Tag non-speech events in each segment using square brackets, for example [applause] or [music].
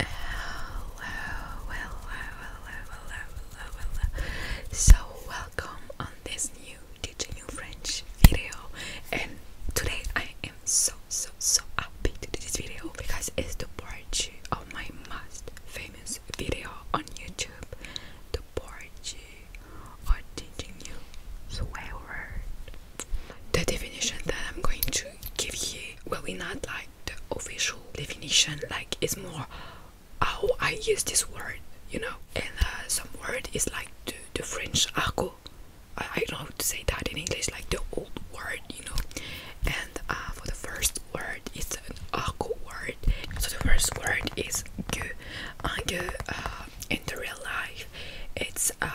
Hello, hello, hello, hello, hello, hello. So welcome on this new teaching you French video and today I am so so so happy to do this video because it's the part of oh my most famous video on YouTube the part of teaching you swear word the definition that I'm going to give you well, we not like the official definition, like it's more how I use this word, you know. And uh, some word is like the, the French argot. I, don't know how to say that in English, like the old word, you know. And uh, for the first word, it's an argot word. So the first word is gueux. Un gueux uh, in the real life, it's um,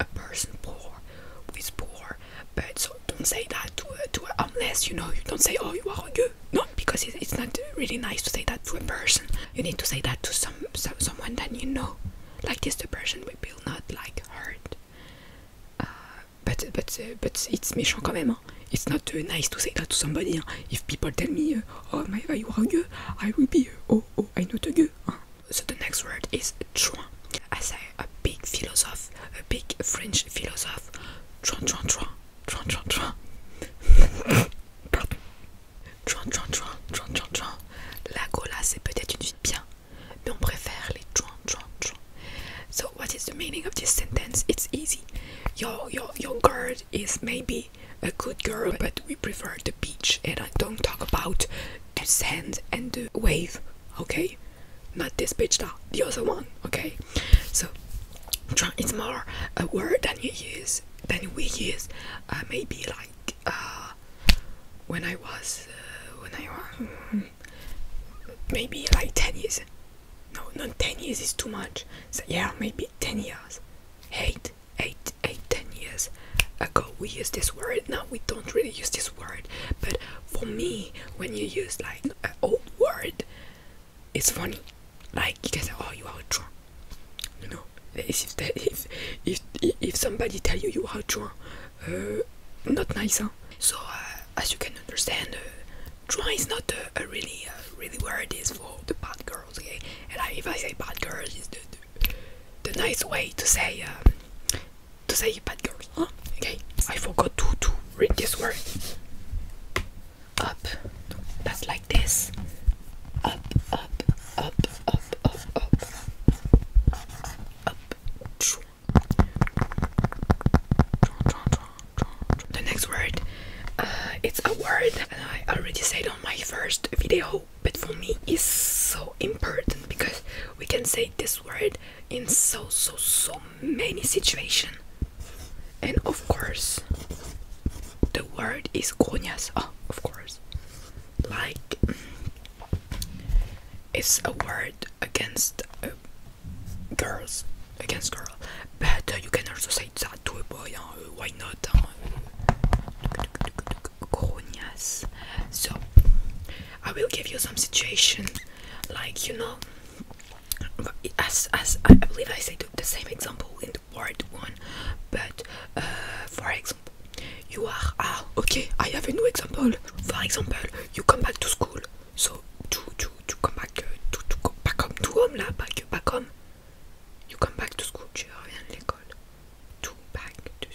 a person poor is poor, but so don't say that to a, to unless you know you don't say oh you are a you no because it, it's not really nice to say that to a person. You need to say that to some, some someone that you know, like this the person we will not like hurt. Uh, but but but it's méchant quand même. Hein? It's not uh, nice to say that to somebody. If people tell me oh my god you are you, I will be oh oh I know the you. Hein? So the next word is Tron. I say a big philosopher, a big French philosopher. Tron, Tron, Tron, Tron, Tron, Tron. Tron, Tron, Tron, Tron, Tron, Tron. La cola, c'est peut-être une vie bien, mais on préfère les Tron, So what is the meaning of this sentence? It's easy. Your your your girl is maybe a good girl, but we prefer the beach, and I don't talk about and sand and the wave okay not this bitch da, the other one okay so try it's more a word than you use than we use uh, maybe like uh when i was uh, when i was [laughs] maybe like 10 years no not 10 years is too much so yeah maybe 10 years 8 8 8 10 years ago we used this word now we don't really use this word but for me when you use like an old word it's funny like because can oh you are drunk you know if if, if if somebody tell you you are drunk uh, not nice huh? so uh, as you can understand uh, drunk is not a, really uh, really word is for the bad girls okay and if I say bad girls the nice way to say um, to say bad girl. Huh? Okay, I forgot to to read this word. Up, that's like this. Up, up, up, up, up, up, up. The next word, uh, it's a word, and I already said on my first video but for me it's so important because we can say this word in so so so many situations and of course the word is coñas oh of course like mm, it's a word against uh, girls against girl but you can also say that to a boy why not ah grognas. So I will give you some situations, like you know, as as I believe I said the same example in the part one, but uh, for example, you are ah okay. I have a new example. For example, you come back to school, so to to to come back uh, to to back home to home là, back back home. You come back to school, tu reviens de l'école. to back to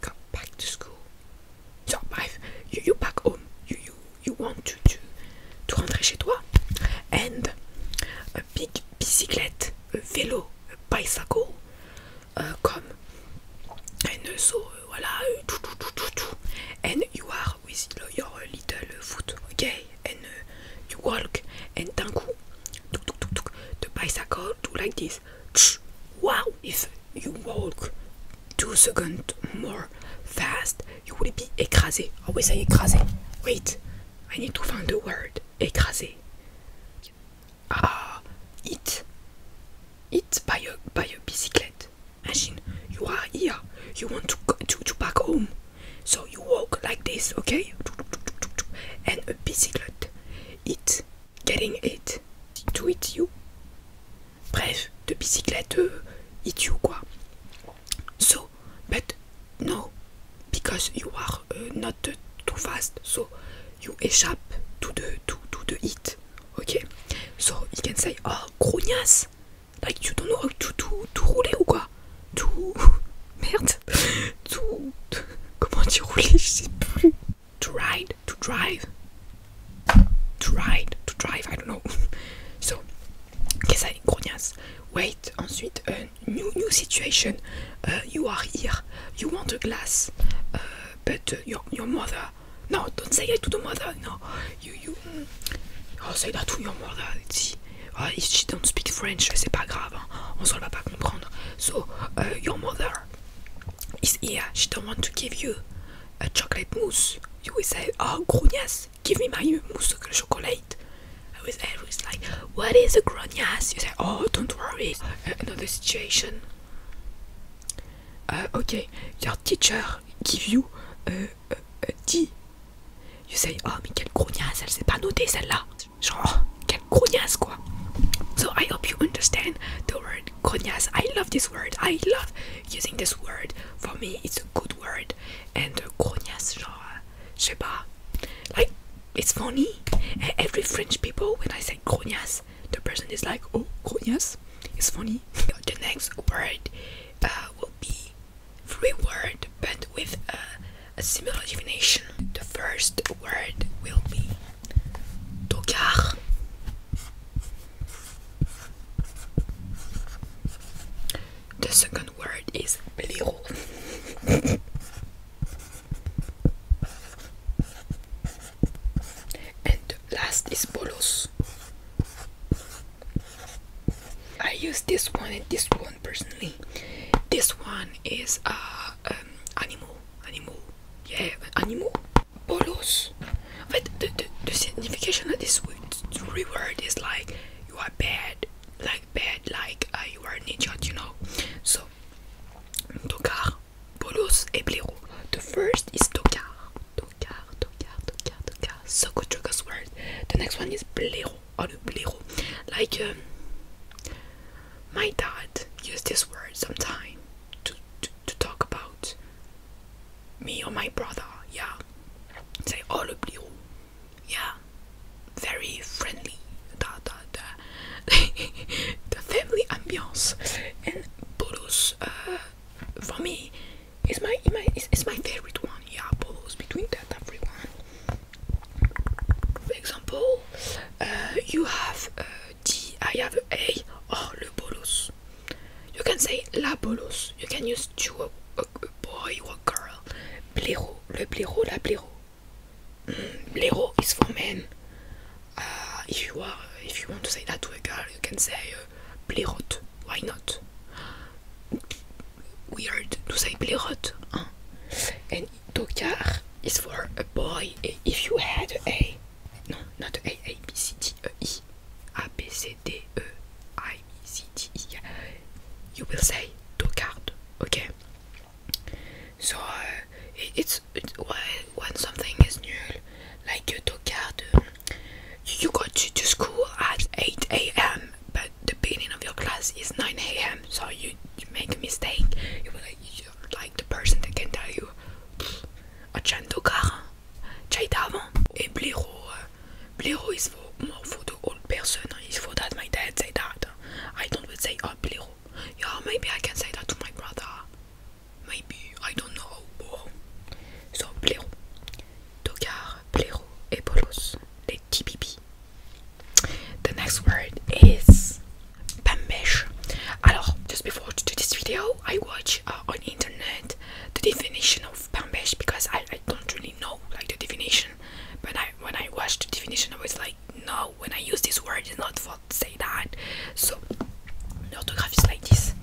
come back to school. So my you, you back home. You you you want to to to rentrer chez toi. And a big bicyclette, a vélo, a bicycle, uh, come. And so uh, voilà, uh, tout, tout, And you are with your little foot, okay? And you walk. And d'un coup, tuk, tuk, tuk, tuk. the bicycle do like this wow if you walk two second more fast you will be écrasé always ah say écrasé wait I need to find the word écrasé ah it it by a by a bicyclette machine. you are here you want to go to, to back home so you walk like this, okay? And a bicyclette. It, getting it, to eat you. Bref, the bicyclette, euh, it you quoi. So, but no, because you are euh, not too fast, so you échappe to the, to, to the hit, okay? So you can say, oh, grognasse, like you don't know how to, to, to rouler To [laughs] Merde. to Comment tu roulais Je sais plus. To ride, to drive. To ride, to drive, I don't know. [laughs] So, qu'est-ce que grognasse Wait, ensuite, euh, new, new situation. Euh, you are here. You want a glass. Euh, but your, your mother. No, don't say it to the mother. No, you, you. Mm. Oh, say that to your mother. See, Oh, she don't speak French, c'est pas grave, hein. on se va pas comprendre. So, uh, your mother is here, she don't want to give you a chocolate mousse. You will say, oh, grognasse, give me my mousse chocolat. I was always like, what is a grognasse? You say, oh, don't worry, uh, another situation. Uh, okay, your teacher give you uh, tea You say, oh, mais quelle elle s'est pas notée celle-là. Genre, oh, quelle grognasse quoi. So I hope you understand the word grognasse. I love this word. I love using this word. For me, it's a good word. And uh, grognasse, genre, je Like, it's funny. Every French people, when I say grognasse, the person is like, oh, grognasse. It's funny. [laughs] the next word uh, will be Free word, but with a, similar definition. The first word will be Tokar. The second word is bliro. [laughs] and the last is bolos. I use this one and this one personally. This one is uh, um, animal, animal, yeah, animal. Bolos. But the, the, the signification of this word is like you are bad, like bad, like uh, you are an idiot, you know. So, Tokar, Bolos, et Blaireau. The first is Tokar, Tokar, Tokar, Tokar, Tokar, Sokotroka's word. The next one is Blaireau or Like um, my dad used this word sometimes to, to talk about me or my brother. Yeah, say oh le blero. Yeah, very friendly. Da, da, [laughs] the family ambiance and Boros, uh, for me it's my, my it's, my favorite one. Yeah, Apollo's between that everyone. For example, uh, you have D, uh, I uh, have a A, oh, or le bolos. You can say la bolos. You can use to a, boy or a girl. Blaireau, le blaireau, la blaireau. Mm, blaireau is for men. if you are, if you want to say that to a girl, you can say uh, blaireaute why not? Weird to say Blirot. Huh? And Tokar is for a boy. If you had a. No, not A, A, B, C, D, E, I. A, B, C, D, E, I, B, C, D, E. You will say Tokard, okay? So, uh, it's, it's when something is null, like Tokard, you got to, to school at 8 a.m., but the beginning of your class is 9 a.m., so you, make a mistake. You will, like, the person that can tell you, A Achandokar, chai d'avant, et blaireau. Uh, blaireau is for more for the old person, uh, it's for that my dad say that. I don't would say, oh, blaireau. Yeah, maybe I can say that to my brother. Maybe, I don't know. So, blaireau. Tokar, Plero, et Bolos, les TPP. The next word is Pambesh. Alors, just before to do this video, I watch uh, on internet the definition of Pambesh because I, don't really know like the definition. But when I watched the definition, I was like, no, when I use this word, it's not for say that. So, the autograph is like this.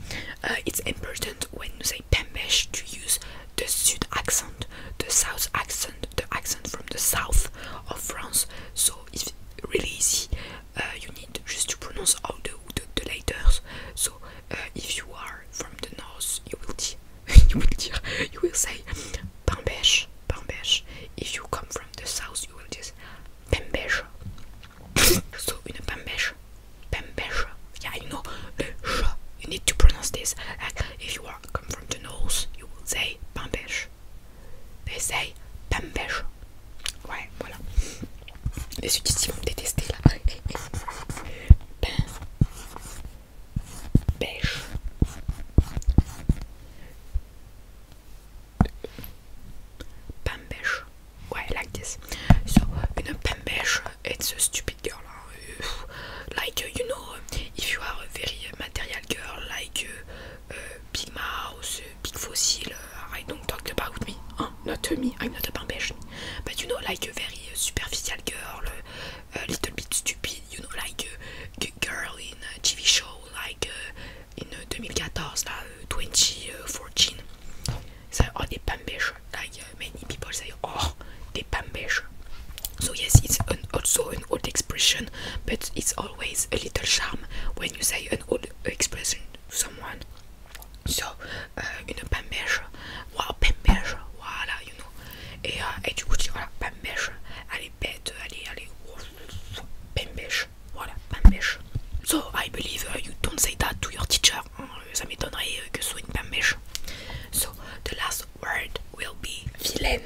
Uh, it's important when you say Pembesh to use the south accent, the South accent, the accent from the south of France. So it's really easy. Uh, you need just to pronounce all the the, letters. So uh, if you are from the north, you will say [laughs] you will say Pembesh, Pembesh. If you come from the south, you will just Pembesh. [laughs] so une pembèche. Pembèche. Yeah, you know, you need to pronounce this. Like if you are come from the nose, you will say pembèche. They say pembèche. Ouais, voilà. Les sudistes vont me détester là. Pembèche. Pembèche. why like this. So, in a pembesh, it's a stupid girl. Hein. Like, you know, if you are a very material girl, like uh, uh Big Mouse, Big Fossil, uh, I don't talk about me. Hein. Not me, I'm not a Pambesh. But you know, like a very superficial girl, uh, a little bit stupid, you know, like a girl in a TV show, like in 2014, 2014. Ça, oh, des pambesh. like many people say, oh, they pambish. So yes, it's also an old expression, but it's always a little charm when you say an old expression to someone. So, uh, une pambiche, wow, pambiche, voilà, you know. Et, euh, et du coup, tu voilà, pambiche, allez, bête, allez, allez, pambiche, voilà, pambiche. So, I believe uh, you don't say that to your teacher, Euh, euh, so, the last word will be villain.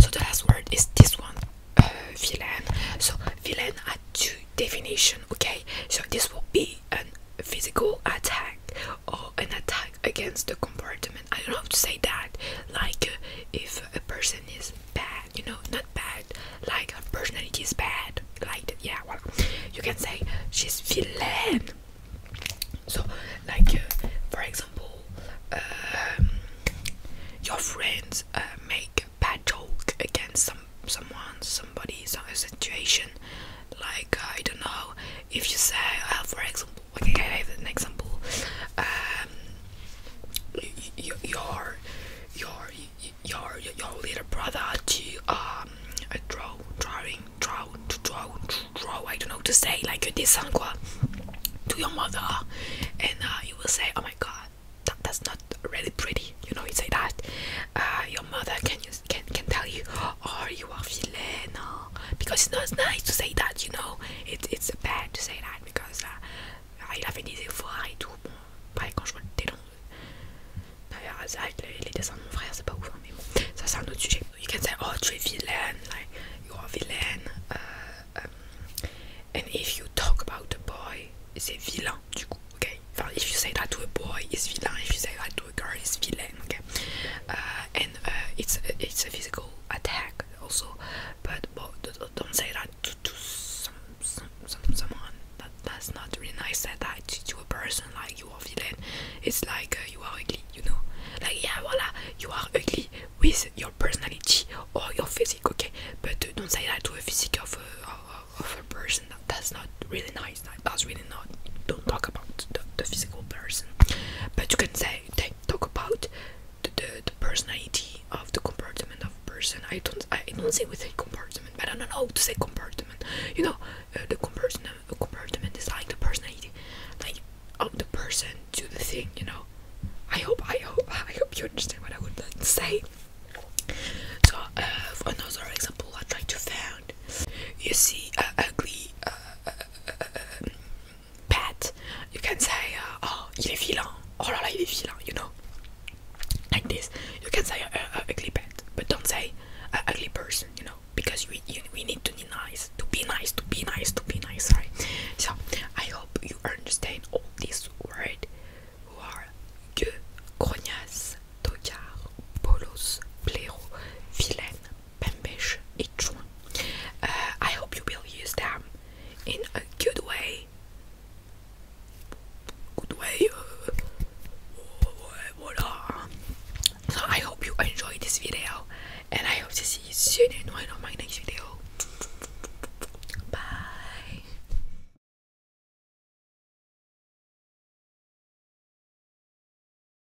So, the last word is this one, uh, villain. So, villain, had two definition. okay? So, this will be a physical attack or an attack against the compartment I don't know how to say that. Like uh, if a person is bad, you know, not bad, like a personality is bad, like yeah. Well, you can say she's villain. So, like uh, for example, um, your friends uh, make a bad joke against some someone, somebody, some situation. Like I don't know if you say, for example. Okay, I gave an example, um, your your your your your little brother to um draw drawing draw to draw draw I don't know to say like you did something to your mother, and uh, you will say, oh my god, that's not really pretty. You know, you say that. Uh, your mother can you can can tell you, how oh, you are feeling, because it's not nice to say that. You know, it's it's bad to say that because uh, il a fait des efforts et tout. Bon, pareil quand je vois le télon, d'ailleurs les, les dessins de mon frère c'est pas ouf, hein, mais bon, ça c'est un You can say oh tu es vilaine, like you are vilaine, uh, and if you talk about a boy, he's vilain du ok. if you say that to a boy, it's villain. If you say that to a girl, he's vilain, ok. Uh, and uh, it's it's a physical attack also but, but don't say that to, to some, some, some someone that that's not really nice say that to a person like you are villain it's like uh, you are ugly you know like yeah voila you are ugly with your personality or your physique okay but don't say that to a physique of a, of, a person that, that's not really nice that's really not don't talk about the, the physical person but you can say talk about the, the, personality of the compartment of person. I don't I don't say we say compartment, but I don't know how to say compartment. You know, uh, the compartment uh, compartment is like the personality, like of the person to the thing. You know, I hope I hope [laughs] I hope you understand what I would like to say. So uh, for another example, I try to find. You see, uh, ugly. Uh, pet, you can say, uh, oh, he is villain." oh là là, he is villain. you know. Like this, you can say uh, uh, ugly but don't say uh, ugly person, you know, because we, we need to be nice, to be nice, to be nice, to be nice, sorry. So, I hope you understand all these words who are gueux, grognasse, tocard, bolos, blaireau, vilaine, each one. Uh, I hope you will use them in a good way. Good way. So I hope you enjoyed this video, and I hope to see you soon in one of my next video. Bye.